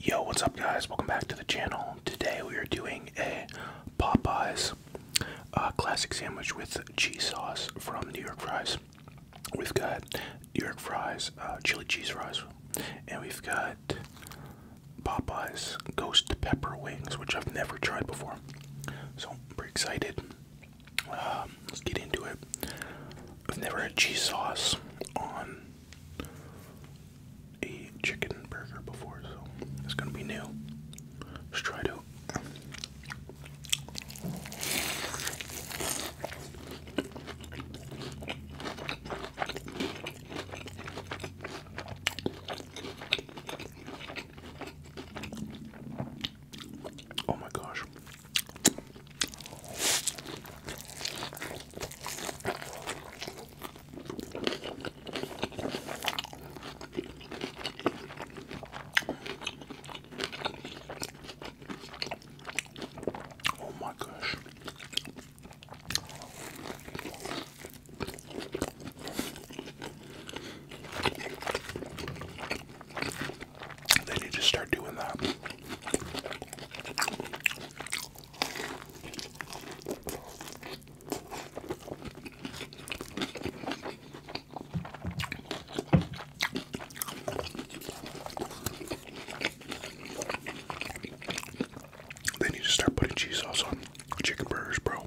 Yo, what's up, guys? Welcome back to the channel. Today we are doing a Popeyes uh, classic sandwich with cheese sauce from New York Fries. We've got New York Fries, uh, chili cheese fries, and we've got Popeyes ghost pepper wings, which I've never tried before. So I'm pretty excited. Um, let's get into it. I've never had cheese sauce on a chicken burger before, so it's gonna be new. Let's try it out. Oh my gosh. Oh, my gosh. They need to start doing that. They need to start putting cheese sauce on chicken burgers, bro.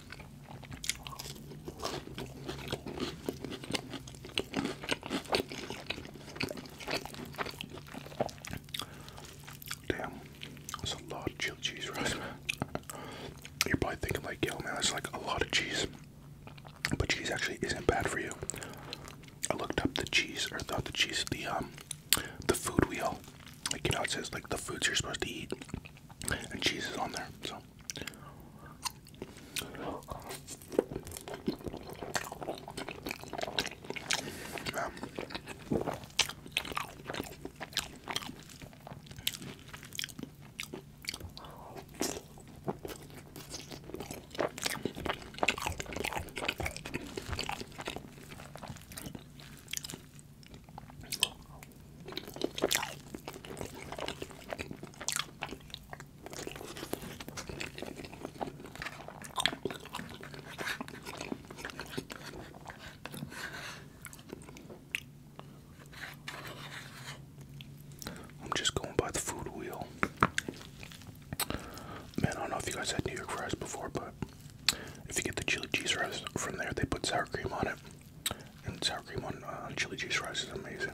Damn, that's a lot of chilled cheese, right? You're probably thinking like, yo man, that's like a lot of cheese. But cheese actually isn't bad for you. I looked up the cheese, or thought the cheese, the um, the food wheel. Like you know, it says like the foods you're supposed to eat and cheese is on there. So I'm just going by the food wheel. Man, I don't know if you guys had New York fries before, but if you get the chili cheese fries from there, they put sour cream on it and sour cream on uh, chili cheese rice is amazing.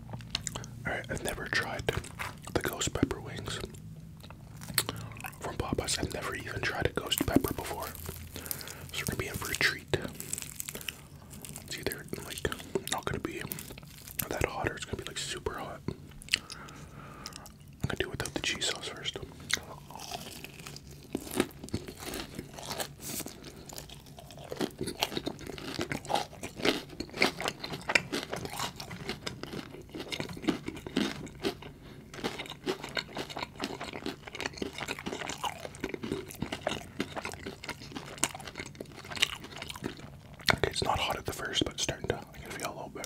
Alright, I've never tried the ghost pepper wings from Popeyes. I've never even tried a ghost pepper before. So we're gonna be in for a treat. they're like not gonna be that hot it's gonna be like super hot. I'm gonna do without the cheese sauce first. Okay, it's not hot at the first, but it's starting to feel a little bit.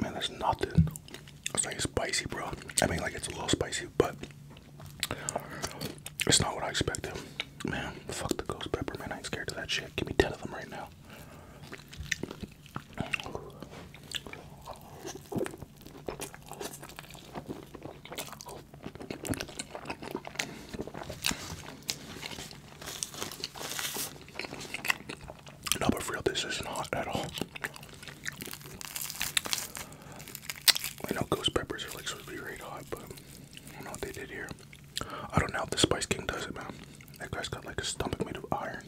Man, there's nothing. It's like spicy, bro. I mean, like it's a little spicy, but it's not what I expected. Man, fuck the ghost pepper, man. I ain't scared of that shit. Give me ten of them right now. No, but real, this isn't at all. I know ghost peppers are like supposed to be really hot, but I don't know what they did here. I don't know if the Spice King does it, man. That guy's got like a stomach made of iron.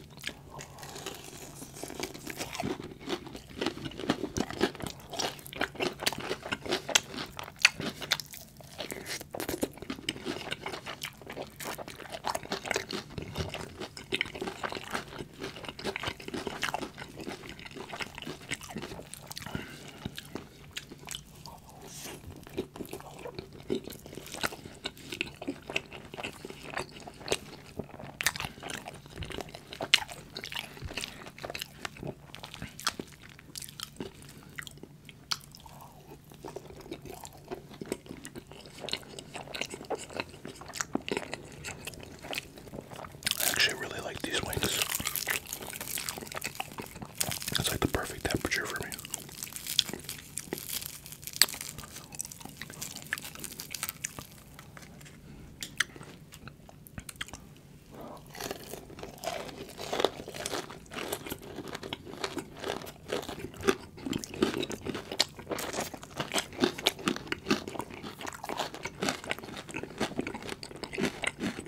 I actually really like these wings. It's like the perfect temperature for me.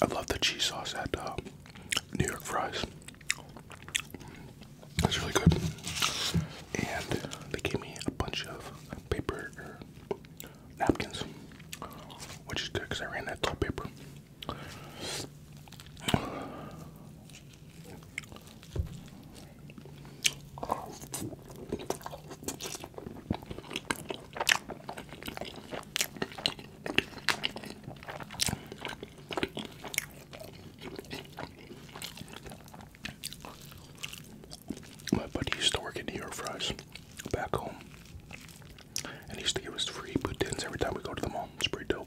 I love the cheese sauce at uh, New York Fries. It's really good. And they gave me a bunch of paper er, napkins, which is good because I ran out of paper. My buddy used to work in New York Fries back home. And he used to give us free boudins every time we go to the mall. It's pretty dope.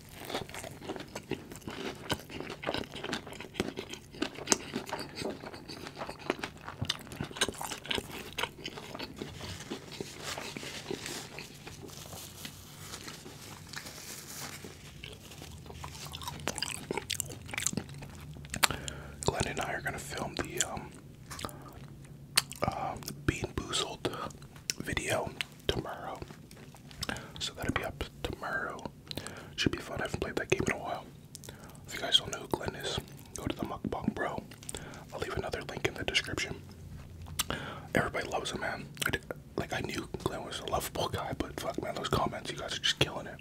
Glenn and I are gonna film the um, uh, Bean Boozled video tomorrow. So that'll be up tomorrow. Should be fun. I haven't played that game in a while. If you guys don't know who Glenn is, go to the Mukbang Bro. I'll leave another link in the description. Everybody loves him, man. like, I knew Glenn was a lovable guy, but fuck, man, those comments, you guys are just killing it.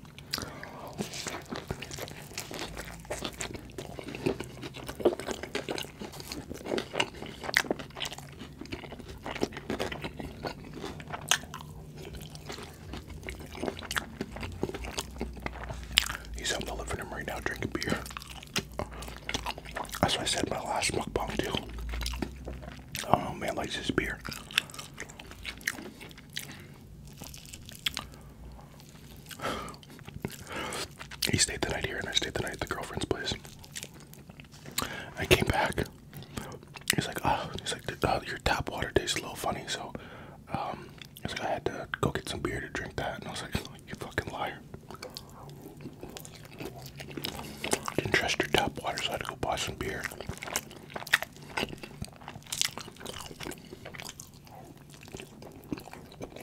He's out in the living room right now drinking beer. That's what I said my last mukbang too. Oh man likes his beer. He stayed the night here and I stayed the night at the girlfriend's place. I came back. He's like, oh, he's like, oh, your tap water tastes a little funny. So, um, he's like, I had to go get some beer to drink that, and I was like, oh, you fucking liar. Didn't trust your tap water, so I had to go buy some beer.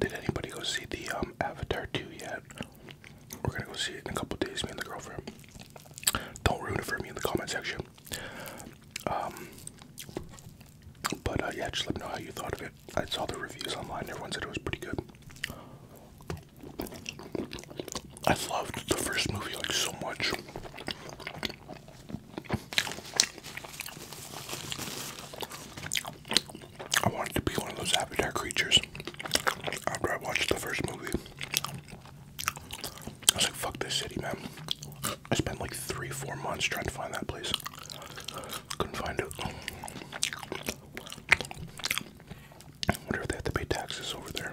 Did anybody go see the um, Avatar 2 yet? We're gonna go see it in a couple days, me and the girlfriend. Don't ruin it for me in the comment section. Um, but uh, yeah, just let me know how you thought of it. I saw the reviews online, everyone said it was pretty good. I loved the first movie like so much. I wanted to be one of those Avatar creatures after I watched the first movie. I was like, fuck this city, man. I spent like three, four months trying to find that place. Couldn't find it. I wonder if they have to pay taxes over there.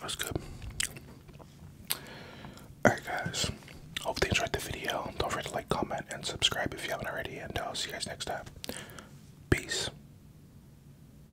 That's good. Alright, guys. Hopefully, you enjoyed the video. Don't forget to like, comment, and subscribe if you haven't already. And I'll see you guys next time. Peace.